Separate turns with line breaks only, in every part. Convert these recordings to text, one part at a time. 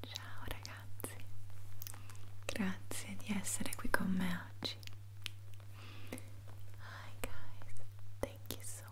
Ciao ragazzi, grazie di essere qui con me oggi. Hi guys, thank you so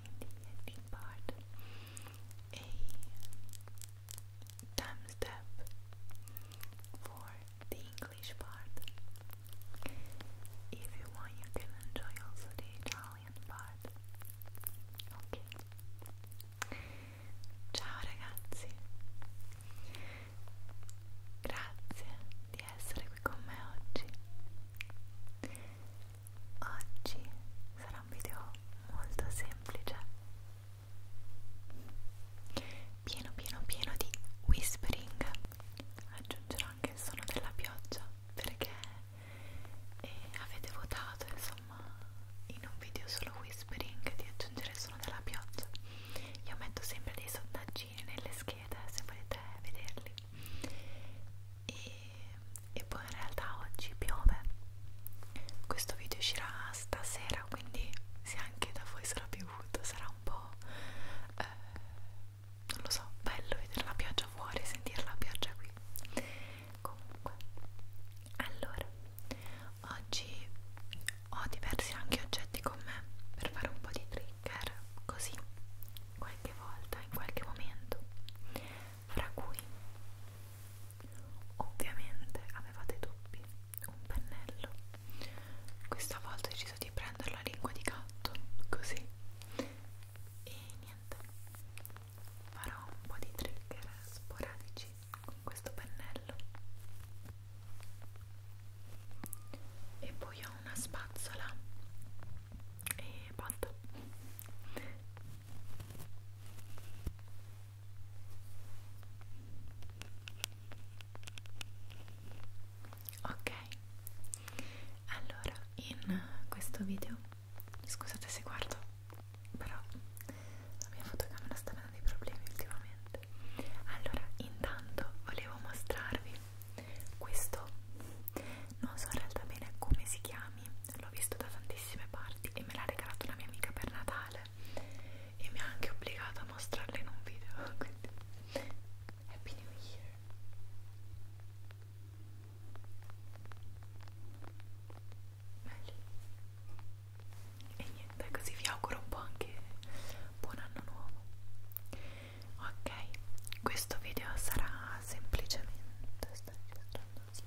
in the ending part a timestamp for the English part. If you want, you can enjoy also the Italian part. Ok. Ciao ragazzi. Grazie di essere qui con me oggi. Oggi sarà un video molto semplice, pieno pieno pieno di whispering. Aggiungerò anche il suono della pioggia perché eh, avete votato insomma in un video solo whispering di aggiungere il suono della pioggia. Io metto sempre dei sondaggini nelle schede se volete vederli e, e poi in realtà oggi piove questo video uscirà stasera quindi se anche da voi sarà piovuto sarà un po' eh, non lo so bello vedere la pioggia fuori e sentire la pioggia qui comunque allora oggi ho diversi anche oggetti con me per fare un po' di trigger così qualche volta in qualche momento fra cui ovviamente avevate dubbi un pennello questa volta ho deciso di prendere la lingua di gatto così e niente farò un po' di trigger sporadici con questo pennello e poi ho una spazzola e basta ok allora in questo video scusate se guardo però la mia fotocamera sta avendo dei problemi ultimamente allora intanto volevo mostrarvi questo non so in realtà bene come si chiami l'ho visto da tantissime parti e me l'ha regalato una mia amica per Natale e mi ha anche obbligato a mostrarla in un video quindi Happy New Year Belli. e niente così vi auguro un po' anche buon anno nuovo ok questo video sarà semplicemente sto registrando sì.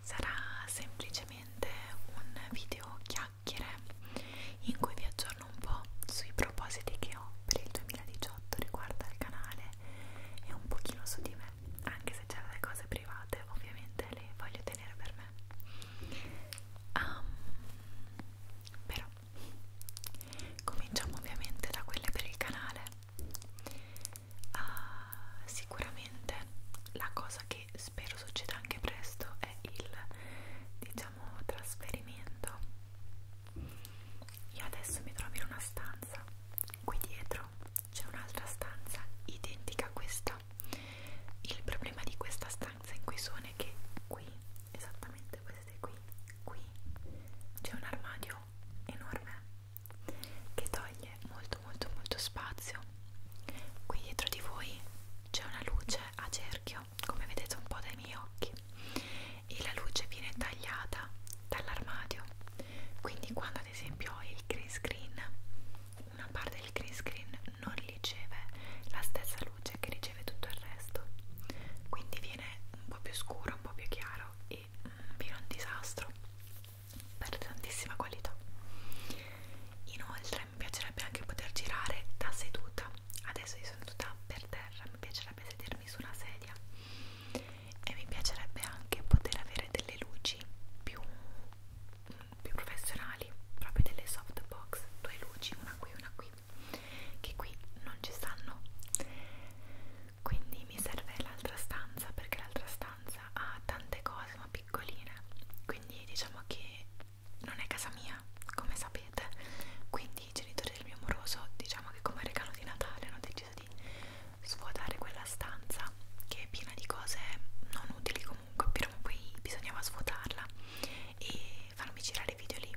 sarà semplicemente un video chiacchiere in cui vi aggiorno un po' sui propositi che ho per il 2018 riguardo al canale e un pochino su di me anche se c'è delle cose private ovviamente le voglio tenere per me um, però cominciamo ovviamente da quelle per il canale Uh, sicuramente la cosa che spero succeda anche presto è il diciamo trasferimento. Io adesso mi trovo in una stanza, qui dietro c'è un'altra stanza identica a questa. Il problema di questa stanza in cui sono è che qui, esattamente queste qui, qui c'è un armadio enorme che toglie molto molto molto spazio qui dietro di voi c'è una luce a cerchio come vedete un po' dai miei occhi e la luce viene tagliata dall'armadio quindi quando ad esempio ho il green screen una parte del green screen non riceve la stessa luce che riceve tutto il resto quindi viene un po' più scuro un po' più chiaro e poi un vino un disastro per tantissima qualità inoltre mi piacerebbe anche poter girare da seduta adesso io sono tutta per terra mi piacerebbe sedermi su una sedia e mi piacerebbe anche poter avere delle luci più, più professionali proprio delle softbox due luci una qui e una qui che qui non ci stanno quindi mi serve l'altra stanza perché l'altra stanza ha tante cose ma piccoline quindi diciamo che non è casa mia come sapete quindi i genitori del mio amoroso diciamo che come regalo di Natale hanno deciso di svuotare quella stanza che è piena di cose non utili comunque però poi bisognava svuotarla e farmi girare video lì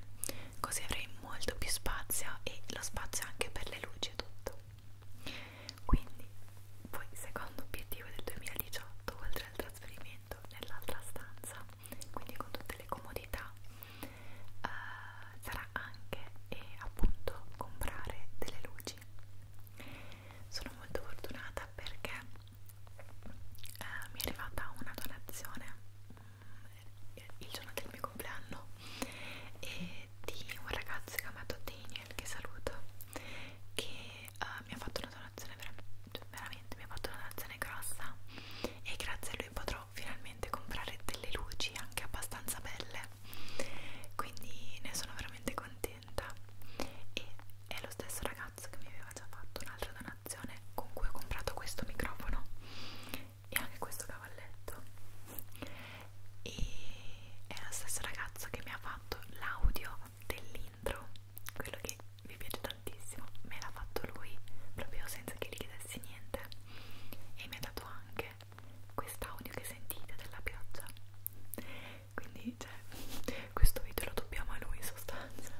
così avrei molto più spazio e lo spazio anche per le luci e tutto quindi, poi, secondo obiettivo del 2018, oltre al trasferimento nell'altra stanza, quindi con tutte le comodità, eh, sarà anche e appunto comprare delle luci. Sono molto fortunata perché eh, mi è arrivata una donazione mm, il giorno del mio compleanno e di un ragazzo chiamato Daniel che saluto che uh, mi ha fatto una donazione veramente, veramente mi ha fatto una donazione grossa e grazie a lui potrò finalmente comprare delle luci anche abbastanza belle quindi ne sono veramente contenta e è lo stesso ragazzo che mi aveva già fatto un'altra donazione con cui ho comprato questo microfono e anche questo cavalletto e è la stessa ragazza che mi ha fatto l'audio dell'intro quello che mi piace tantissimo me l'ha fatto lui proprio senza che gli chiedessi niente e mi ha dato anche quest'audio che sentite della pioggia quindi cioè questo video lo dobbiamo a lui in sostanza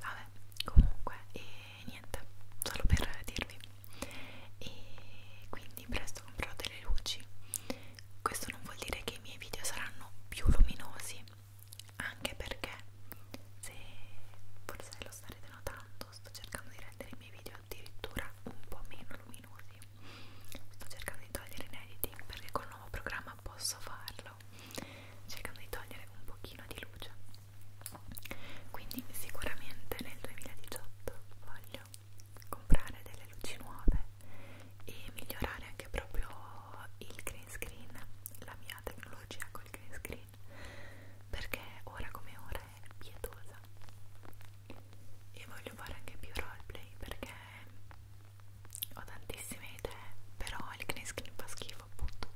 vabbè comunque e niente, solo per dirvi. E quindi presto comprerò delle luci. Questo non vuol dire che i miei video saranno più luminosi, anche perché se forse lo starete notando, sto cercando di rendere i miei video addirittura un po' meno luminosi. Sto cercando di togliere in editing perché col nuovo programma posso farlo cercando di togliere un pochino di luce quindi sicuramente nel 2018 voglio comprare delle luci nuove e migliorare anche proprio il green screen la mia tecnologia col green screen perché ora come ora è pietosa e voglio fare anche più roleplay perché ho tantissime idee però il green screen fa schifo appunto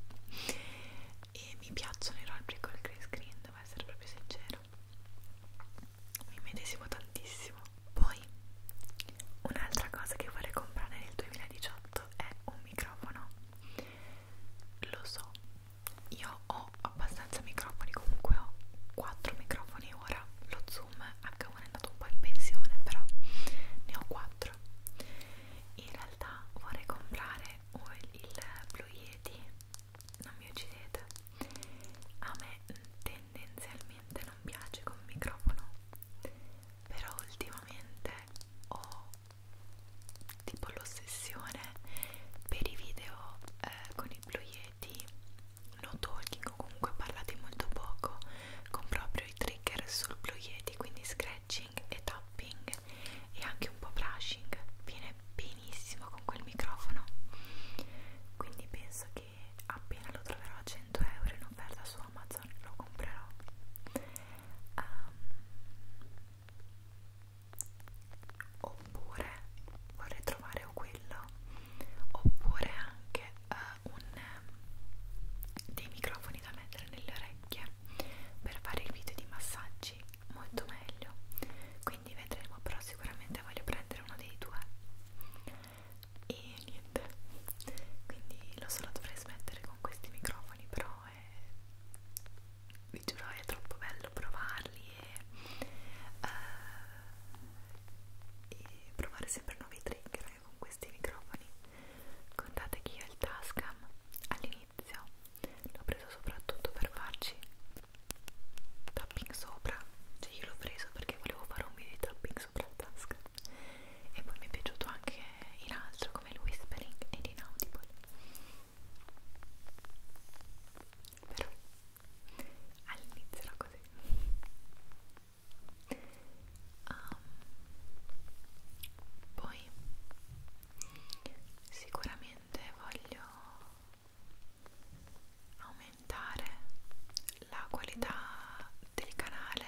e mi piacciono i roleplay col green screen devo essere proprio sincera mi medesimo tantissimo. Poi, un'altra cosa che vorrei comprare nel 2018 è un microfono. Lo so, io ho abbastanza microfoni, comunque ho 4 microfoni ora. Lo Zoom H1 è andato un po' in pensione, però ne ho 4. In realtà vorrei comprare il Blue Yeti non mi uccidete a me tendenzialmente non piace con microfono però ultimamente ho tipo l'ossessione per i video eh, con i Blue Yeti no talking o comunque parlati molto poco con proprio i trigger sul Blue Yeti quindi scratching e tapping e anche un po' brushing viene benissimo con quel microfono quindi penso che appena lo troverò a 100 euro in offerta su Amazon lo comprerò um, oppure vorrei trovare o quello oppure anche uh, un, um, dei microfoni da mettere nelle orecchie per fare il video di massaggi molto meglio quindi vedremo però sicuramente voglio prendere uno dei due e niente quindi lo so lo dovrei smettere con questi microfoni però è... vi giuro è troppo bello provarli e, uh, e provare sempre nuovi trigger anche con questi microfoni contate che io il Tascam all'inizio l'ho preso soprattutto per farci tapping sopra cioè io l'ho preso perché volevo fare un video di tapping sopra la tasca e poi mi è piaciuto anche in altro come il whispering ed inaudible però all'inizio era così um, poi sicuramente voglio aumentare la qualità del canale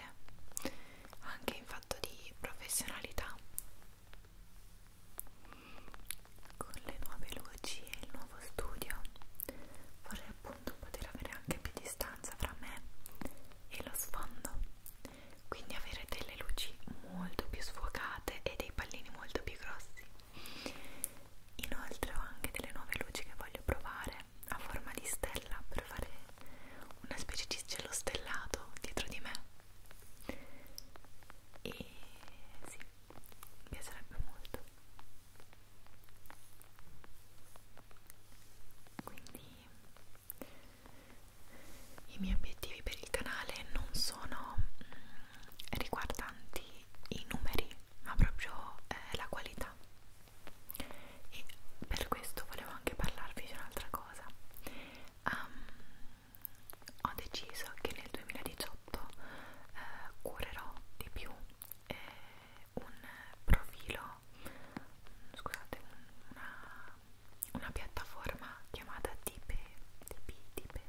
anche in fatto di professionalità con le nuove luci e il nuovo studio vorrei appunto poter avere anche più distanza fra me e lo sfondo quindi avere delle luci molto più sfocate e dei pallini molto più grossi Inoltre ho anche delle nuove luci che voglio provare a forma di stella per fare una specie di cielo stellato dietro di me e sì, mi piacerebbe molto quindi i miei obiettivi per il canale non sono mm, riguardanti i numeri ma proprio eh, la qualità e per questo volevo anche parlarvi di un'altra cosa um, ho deciso che nel 2018 eh, curerò di più eh, un profilo scusate un, una, una piattaforma chiamata Tipe Tipe Tipe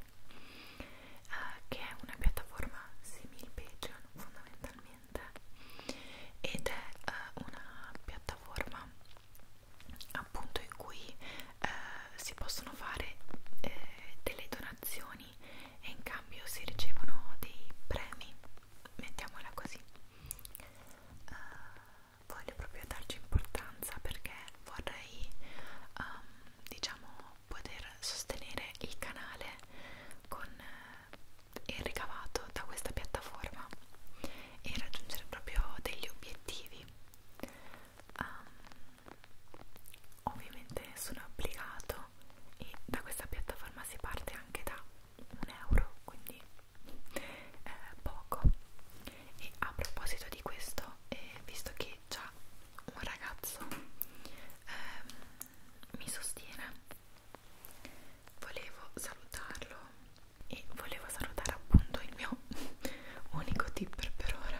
eh, che è una piattaforma simil Patreon fondamentalmente ed è eh, una piattaforma appunto in cui eh, si possono fare eh, delle donazioni e in cambio si ricevono dei premi mettiamola così uh, voglio proprio darci importanza perché vorrei um, diciamo poter sostenere il canale con eh, il ricavato da questa piattaforma e raggiungere proprio degli obiettivi um, ovviamente sono obbligato e da questa piattaforma si parte anche da un euro quindi eh, poco e a proposito di questo eh, visto che già un ragazzo eh, mi sostiene volevo salutarlo e volevo salutare appunto il mio unico tipper per ora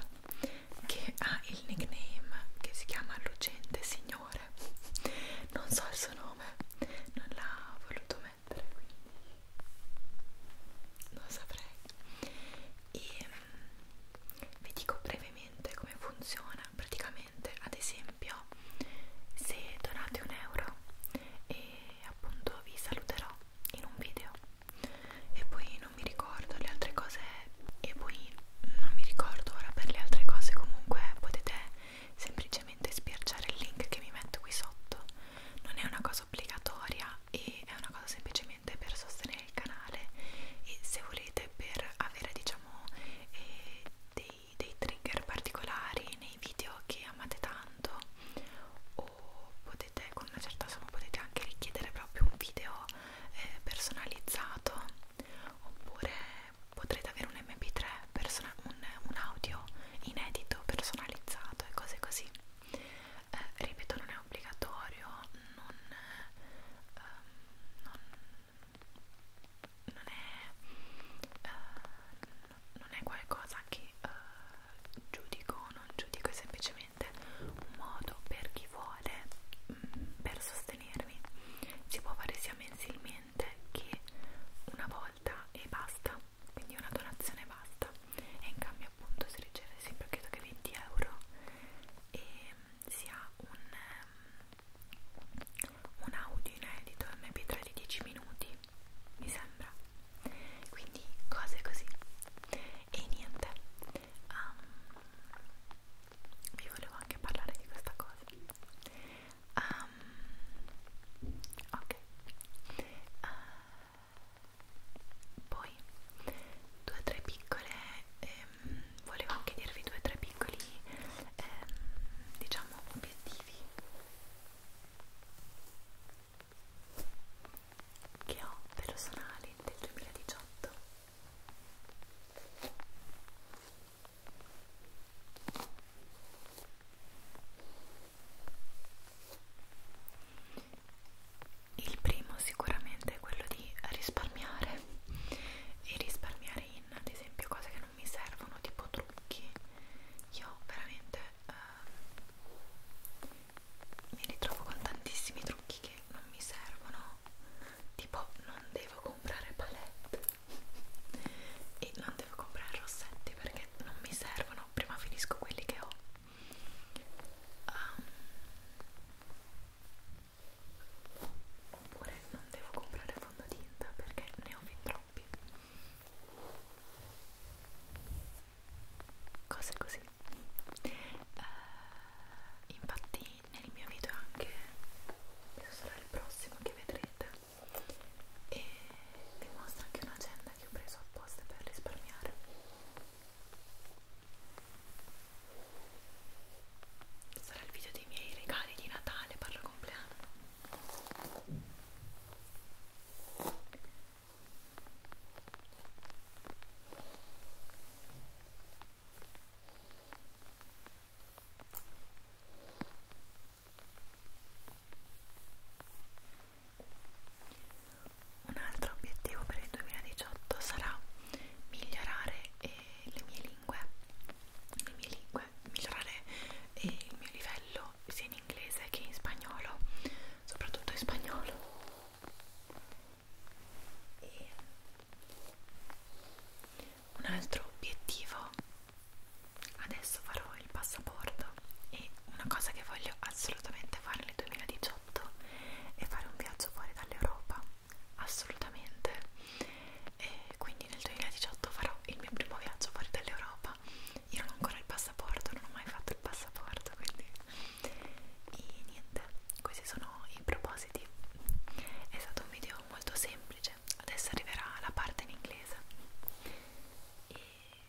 che ha il nickname che si chiama Lucente Signore non so il suo nome non l'ha voluto mettere quindi non saprei e mm, vi dico brevemente come funziona praticamente ad esempio se donate un euro e appunto vi saluterò in un video e poi non mi ricordo le altre cose e poi non mi ricordo ora per le altre cose comunque potete semplicemente spiacciare il link che mi metto qui sotto non è una cosa cosa obbligatoria e è una cosa semplicemente per sostenere il canale e se volete per avere diciamo eh, dei, dei trigger particolari nei video che amate tanto o potete con una certa somma potete anche richiedere proprio un video eh, personalizzato oppure potrete avere un mp3 un, un audio inedito personalizzato e cose così eh, ripeto non è obbligatorio non, eh, non, non, è, eh, non è qualcosa che eh, giudico o non giudico è semplicemente un modo per chi vuole mh, mm, per sostenermi si può fare sia mensilmente che una volta e basta quindi una donazione basta e in cambio appunto si riceve sempre credo che 20 euro e mm, si ha un, ehm, un audio inedito mp3 di 10 minuti mi sembra quindi cose così e niente um, vi volevo anche parlare di questa cosa um, ok uh, poi due o tre piccole ehm, volevo anche dirvi due o tre piccoli ehm, diciamo obiettivi che ho personali del 2018 il primo sicuramente è quello di risparmiare e risparmiare in ad esempio cose che non mi servono, tipo trucchi. Io veramente eh, mi ritrovo con tantissimi trucchi che non mi servono, tipo non devo comprare palette e non devo comprare rossetti perché non mi servono, prima finisco quelli che ho. Um, oppure non devo comprare fondotinta perché ne ho fin troppi cose così uh, infatti nel mio video anche questo sarà il prossimo che vedrete e vi mostro anche un'agenda che ho preso apposta per risparmiare sarà il video dei miei regali di Natale per il compleanno un altro obiettivo per il 2018 sarà migliorare eh, le mie lingue, le mie lingue migliorare eh, il mio livello sia in inglese che in spagnolo, soprattutto in spagnolo. E un altro obiettivo, adesso farò il passaporto e una cosa che voglio assolutamente fare nel 2018 2018 e fare un viaggio fuori dall'Europa assolutamente e quindi nel 2018 farò il mio primo viaggio fuori dall'Europa io non ho ancora il passaporto non ho mai fatto il passaporto quindi e niente questi sono i propositi è stato un video molto semplice adesso arriverà la parte in inglese e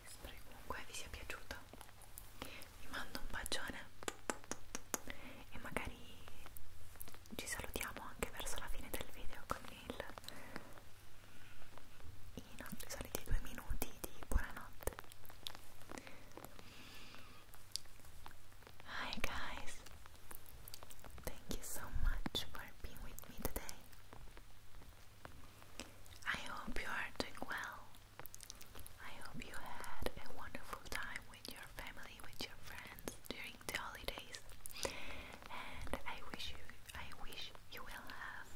spero che comunque vi sia piaciuto vi mando un bacione e magari ci salutiamo anche verso la fine del video con il i nostri soliti due minuti di buonanotte hi guys thank you so much for being with me today I hope you are doing well I hope you had a wonderful time with your family, with your friends during the holidays. And I wish you I wish you will have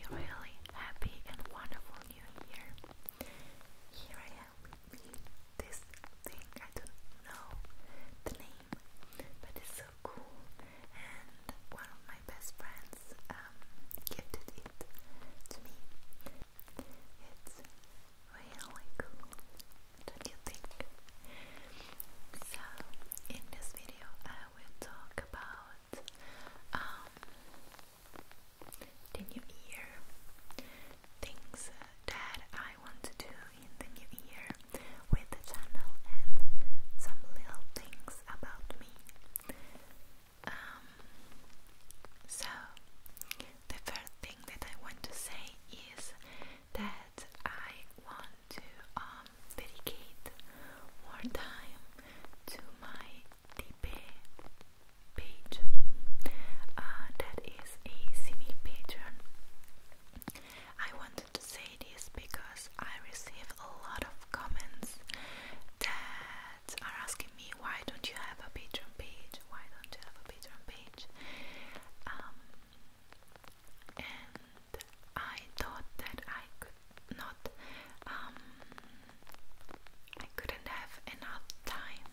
a really happy and wonderful new year. Here I am with This thing I don't know the name, but it's so cool and one of my best friends um gifted it to me it's really cool, don't you think? So, in this video, I will talk about um, the new year, things that I want to do in the new year with the channel, and some little things about me. Um, so, the first thing that I want to say is that I want to um, dedicate more time to my DP page. Uh, that is a semi patron. I wanted to say this because I receive a lot of comments that are asking me why don't you have a Patreon page? Why don't you have a Patreon page? Um, and I thought that I could not, um, I couldn't have enough time,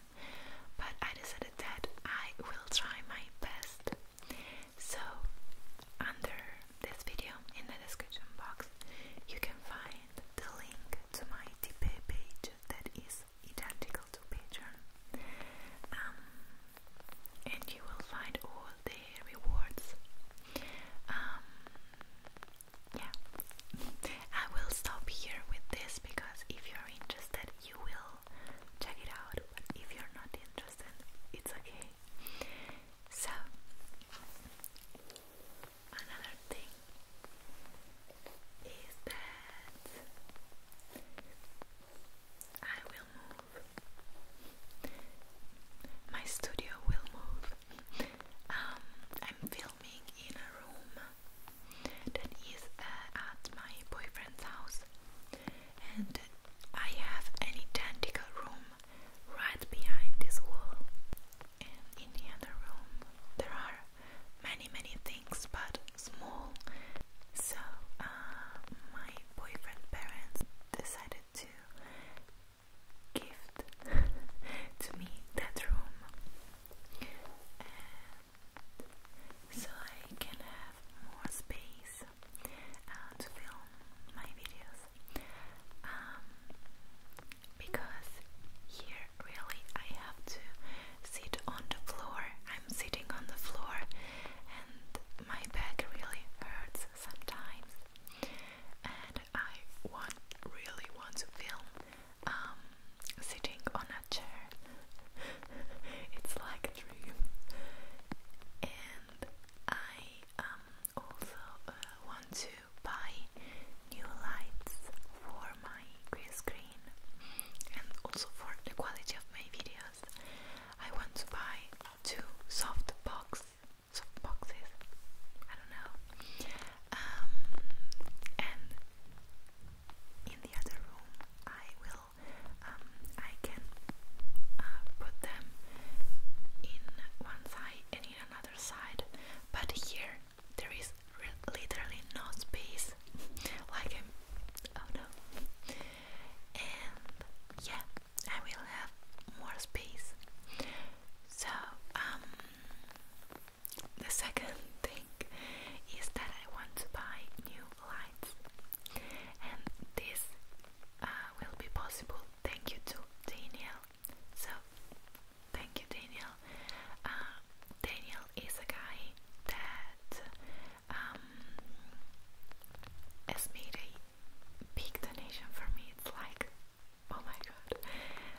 but I decided that I will try my best. So, under this video, in the description box, you can find find the link to my TP page that is identical to Patreon. Um, and you will find all the rewards. Um, yeah, I will stop here with this because if you're interested, you will check it out. if you're not interested, it's okay. So, another thing is that I will move. My studio will move. Um, I'm filming in a room that is uh, at my boyfriend's house, and I have an identical room right behind this wall. And in the other room, there are many many things but small. So uh, my boyfriend parents decided to gift to me that room so I can have more space uh, to film my videos. Um, because here really I have to sit on the floor. I'm sitting on the floor and my back really hurts sometimes. And I want really want to film um, sitting on a chair. it's like a dream. And I um, also uh, want to to buy new lights for my green screen and also for the quality of my videos. I want to buy two soft box soft boxes. I don't know. Um, and in the other room, I will. Um, I can uh, put them in one side and in another side, but here there is literally no space like i um, oh no and yeah I will have more space so um the second thing is that I want to buy new lights and this uh, will be possible thank you to Daniel so, thank you, Daniel. Uh, Daniel is a guy that um, has made a big donation for me. It's like, oh my god,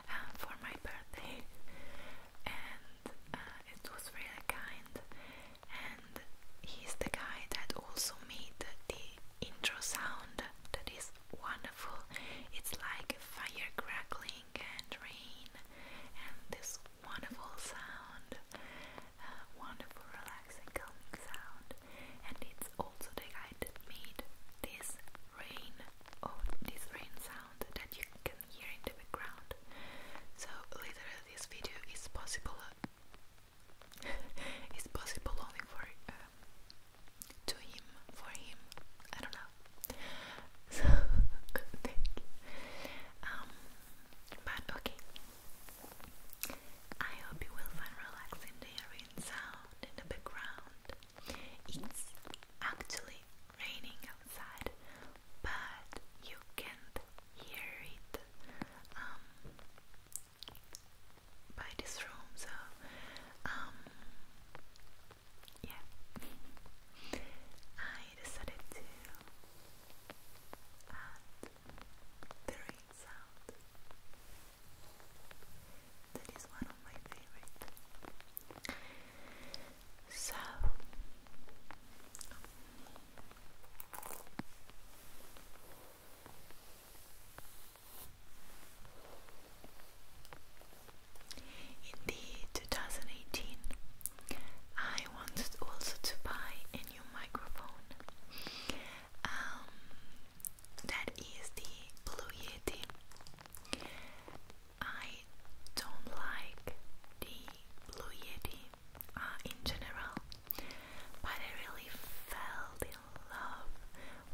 uh, for my birthday, and uh, it was really kind. And he's the guy that also made the intro sound that is wonderful. It's like fire crackling lightning and rain and this wonderful sound, uh, wonderful relaxing calming sound and it's also the guy that made this rain, oh this rain sound that you can hear in the background so literally this video is possible it's possible only for uh, to him, for him, I don't know. So thank Um, but okay. I hope you will find relaxing the sound in the background. It's actually raining outside, but you can't hear it um, by this room. So um, yeah, I decided to add the sound. That is one of my favorite. So. In the 2018, I wanted also to buy a new microphone. Um, that is the Blue Yeti. I don't like the Blue Yeti uh, in general, but I really fell in love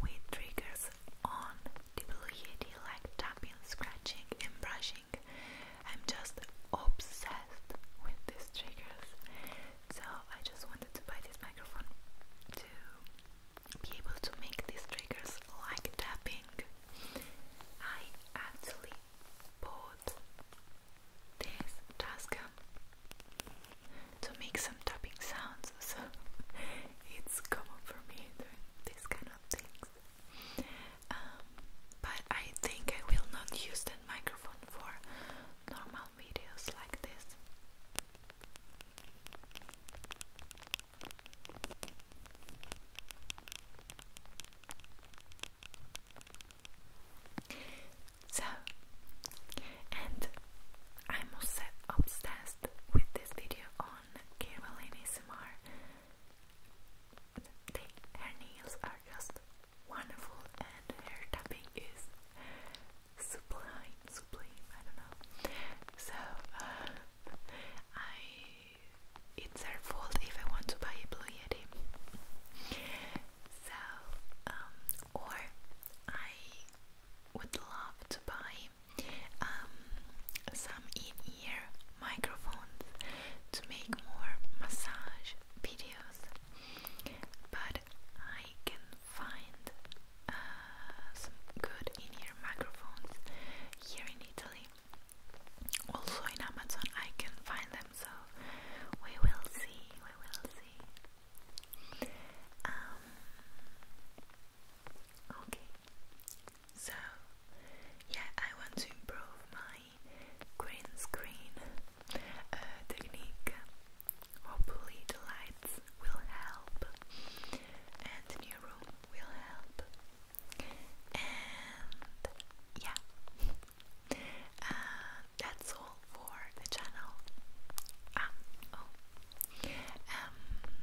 with triggers on People really like tapping, scratching, and brushing. I'm just obsessed with these triggers. So I just wanted to buy this microphone to be able to make these triggers like tapping. I actually bought this Tascam um, to make some tapping sounds, so it's common for me doing these kind of things. Um, but I think I will not use that microphone for normal videos like this. So, and I'm also obsessed with this video on Caroline ASMR. her nails are just wonderful and her tapping is sublime, sublime, I don't know. So, uh, it's her fault if I want to buy a Blue Yeti. So, um, or I would love to buy um, some in-ear microphones to make more massage videos, but I can find uh, some good in-ear microphones here in Italy. Also in Amazon, I can find them, so we will see. We will see. Um, okay, so, yeah, I want to improve my green screen uh, technique. Hopefully, the lights will help, and new room will help. And yeah, uh, that's all for the channel. Ah, oh, um,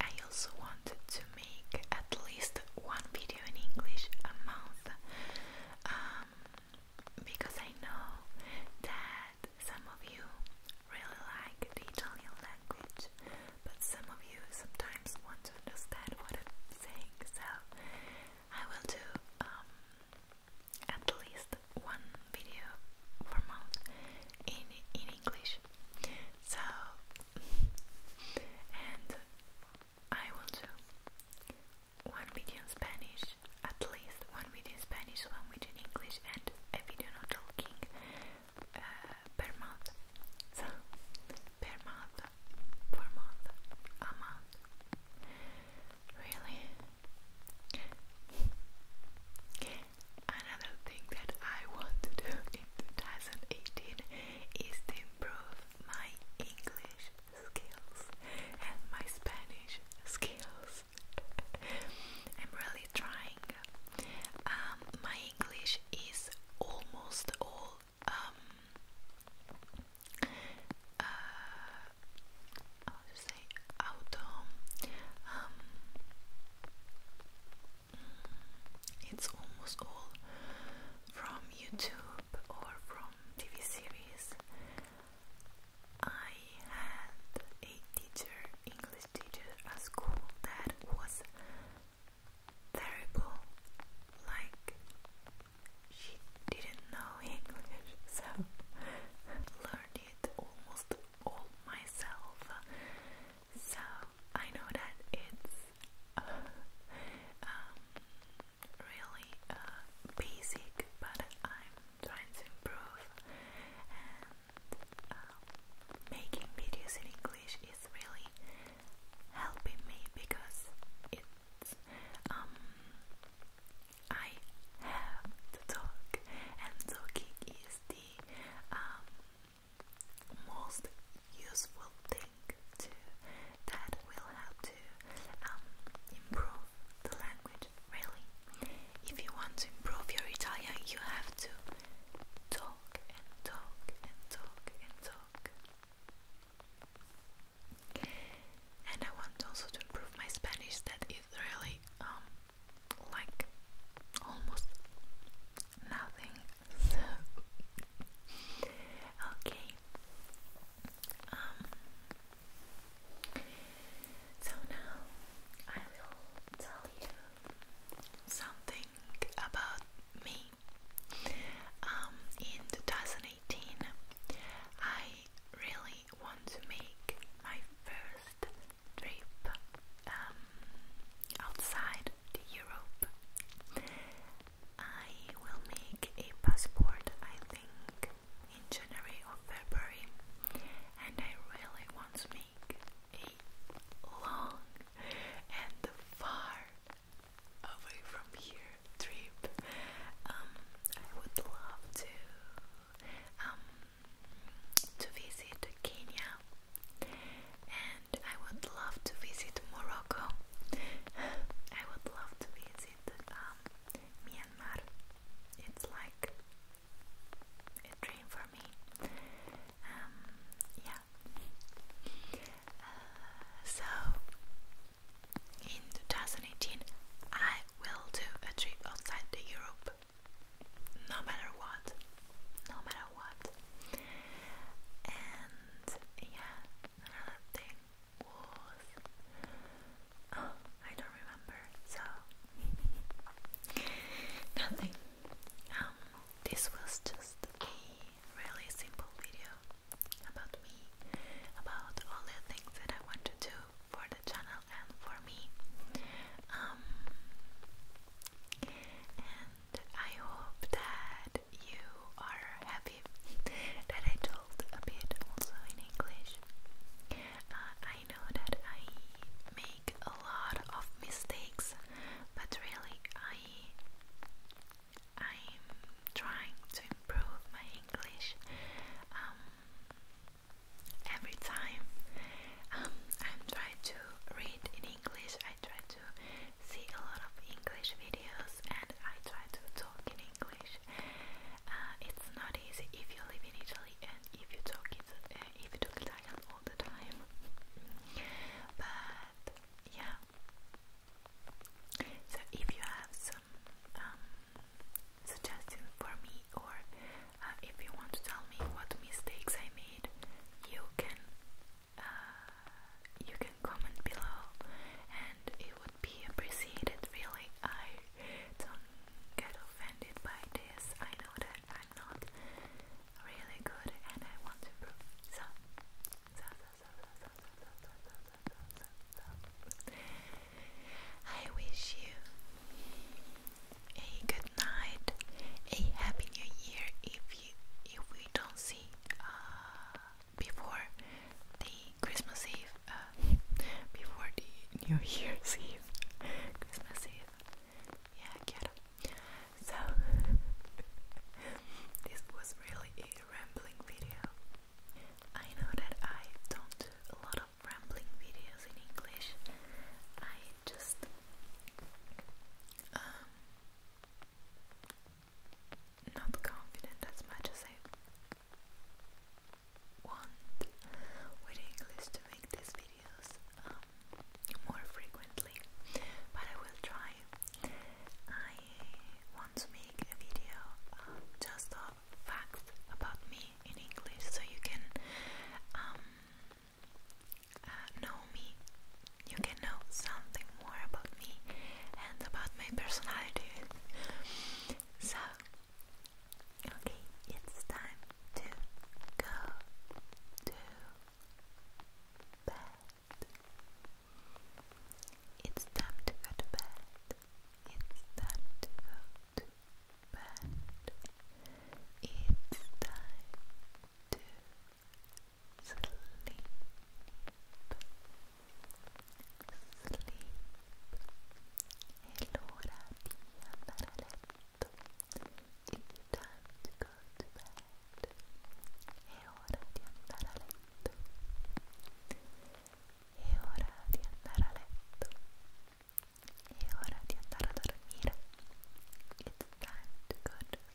I also wanted to make at least one video in English a month um, because I know that some of you really like the Italian language, but some of you sometimes want to understand what I'm saying, so I will do um, at least one video per month in, in English much. So, and I will do one video in Spanish, at least one video in Spanish, one video in English, and a video not talking uh, per month. So, per month, per month, a month. Really? Another thing that I want to do in 2018 is improve my English skills and my Spanish skills. I'm really trying. Um, my English is almost all um, uh, auto um, it's almost all from YouTube or from TV series. I had a teacher, English teacher at school that was terrible. Like she didn't know English, so learned it almost all myself. So I know that it's uh, um, really uh, basic, but I'm trying to improve, um, making videos in English is really helping me because it's um, I have to talk, and talking is the most useful thing to that will help to um, improve the language. Really, if you want to improve your Italian, you have to talk and talk and talk and talk. And I want also to improve my Spanish. That is really um, like almost nothing okay. Um, so now I will tell you something about me. Um, in 2018, I really want to make my first trip um, outside Europe, I will make a passport. I think in January or February, and I really want to make a long and far away from here trip. Um, I would love to um, to visit Kenya I would love to visit Morocco. I would love to visit um, Myanmar. It's like a dream for me. Um, yeah. Uh, so in 2018, I will do a trip outside the Europe. No matter what, no matter know what. And yeah, another thing was oh, I don't remember. So nothing. Um, this was just a really simple video about me, about all the things that I want to do for the channel and for me. Um, I hope that you are happy that I told a bit also in English. Uh, I know that I make a lot of mistakes, but really I I'm trying to improve my English um, every time. Um, I'm trying to read in English. I try to to see a lot of English videos and I try to talk in English. Uh, it's not easy if you live in Italy and uh, if you talk Italian all the time. But yeah. So if you have some um, for me or uh, if you want to tell me what mistakes I made, you can you can comment below and it would be appreciated really. I don't get offended by this. I know that I'm not really good and I want to prove so so so so so so so so so so so I wish you a good night, a happy new year if if we don't see uh, before the Christmas Eve, uh, before the New Year's Eve, Christmas Eve. Yeah, get it. So this was really a rambling video. I know that I don't do a lot of rambling videos in English. I just um, not confident as much as I want with English to make these videos um, more frequently, but I will try. I want to make a video um, just of facts about me in English so you can um, uh, know me, you can know something more about me and about my personality. so, okay, it's time to go to bed. It's time to go to bed. It's time to go to bed. It's time to sleep, sleep è l'ora di andare a letto it's time to go to bed è ora di andare a letto è ora di andare a letto è ora di andare a dormire it's time to go to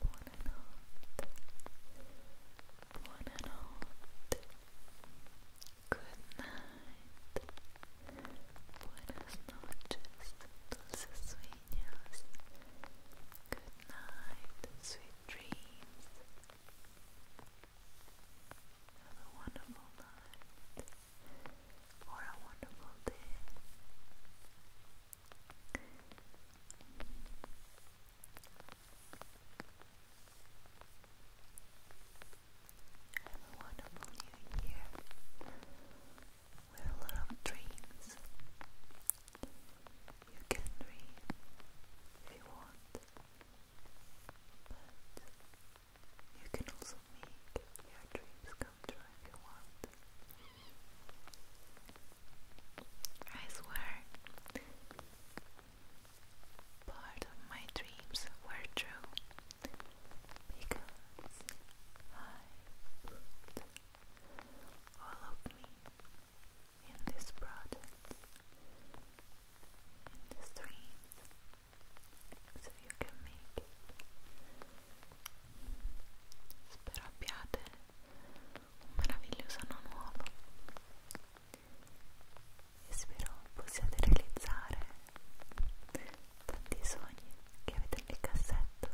Buonanotte. Buonanotte. Good night. Buenas noches. Dulces sueños. Good night. Sweet dreams. Have a wonderful night. Or a wonderful day. Have a wonderful new year with a lot of dreams. You can dream if you want, but you can also make your dreams come I swear, part of my dreams were true because I put me in this project, so you can make it Spero abbiate un meraviglioso anno nuovo e spero possiate realizzare tanti sogni che avete nel cassetto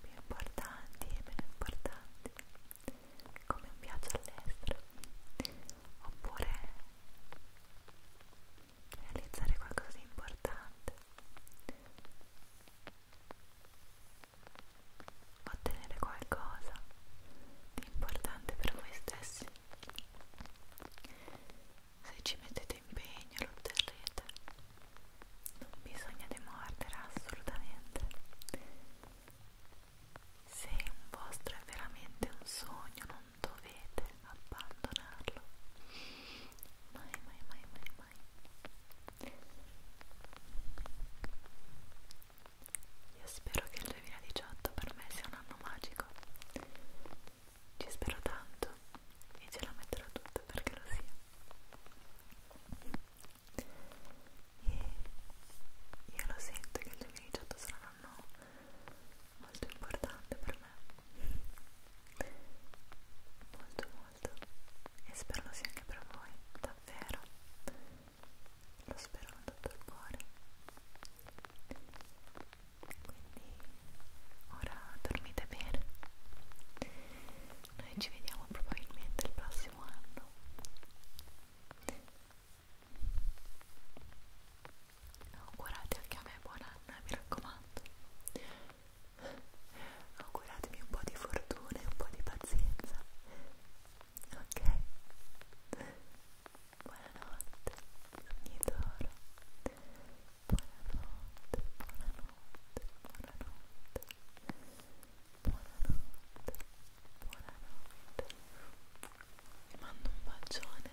più importanti e meno importanti come un viaggio all'estero oppure realizzare qualcosa di importante, ottenere qualcosa di importante per voi stessi. Se ci mettete impegno lo otterrete, non bisogna demordere assolutamente. Se un vostro è veramente un sogno non dovete abbandonarlo mai mai mai mai mai io spero che il 2018 per me sia un anno magico ci spero tanto e ce la metterò tutta perché lo sia e io lo sento che il 2018 sarà un anno molto importante per me molto molto e spero lo sia anche per voi davvero lo spero con tutto il cuore quindi ora dormite bene noi ci vediamo probabilmente il prossimo anno augurate anche a me buon anno eh, mi raccomando auguratemi un po' di fortuna e un po' di pazienza ok? buonanotte sogni d'oro buonanotte buonanotte buonanotte buonanotte buonanotte vi mando un bacione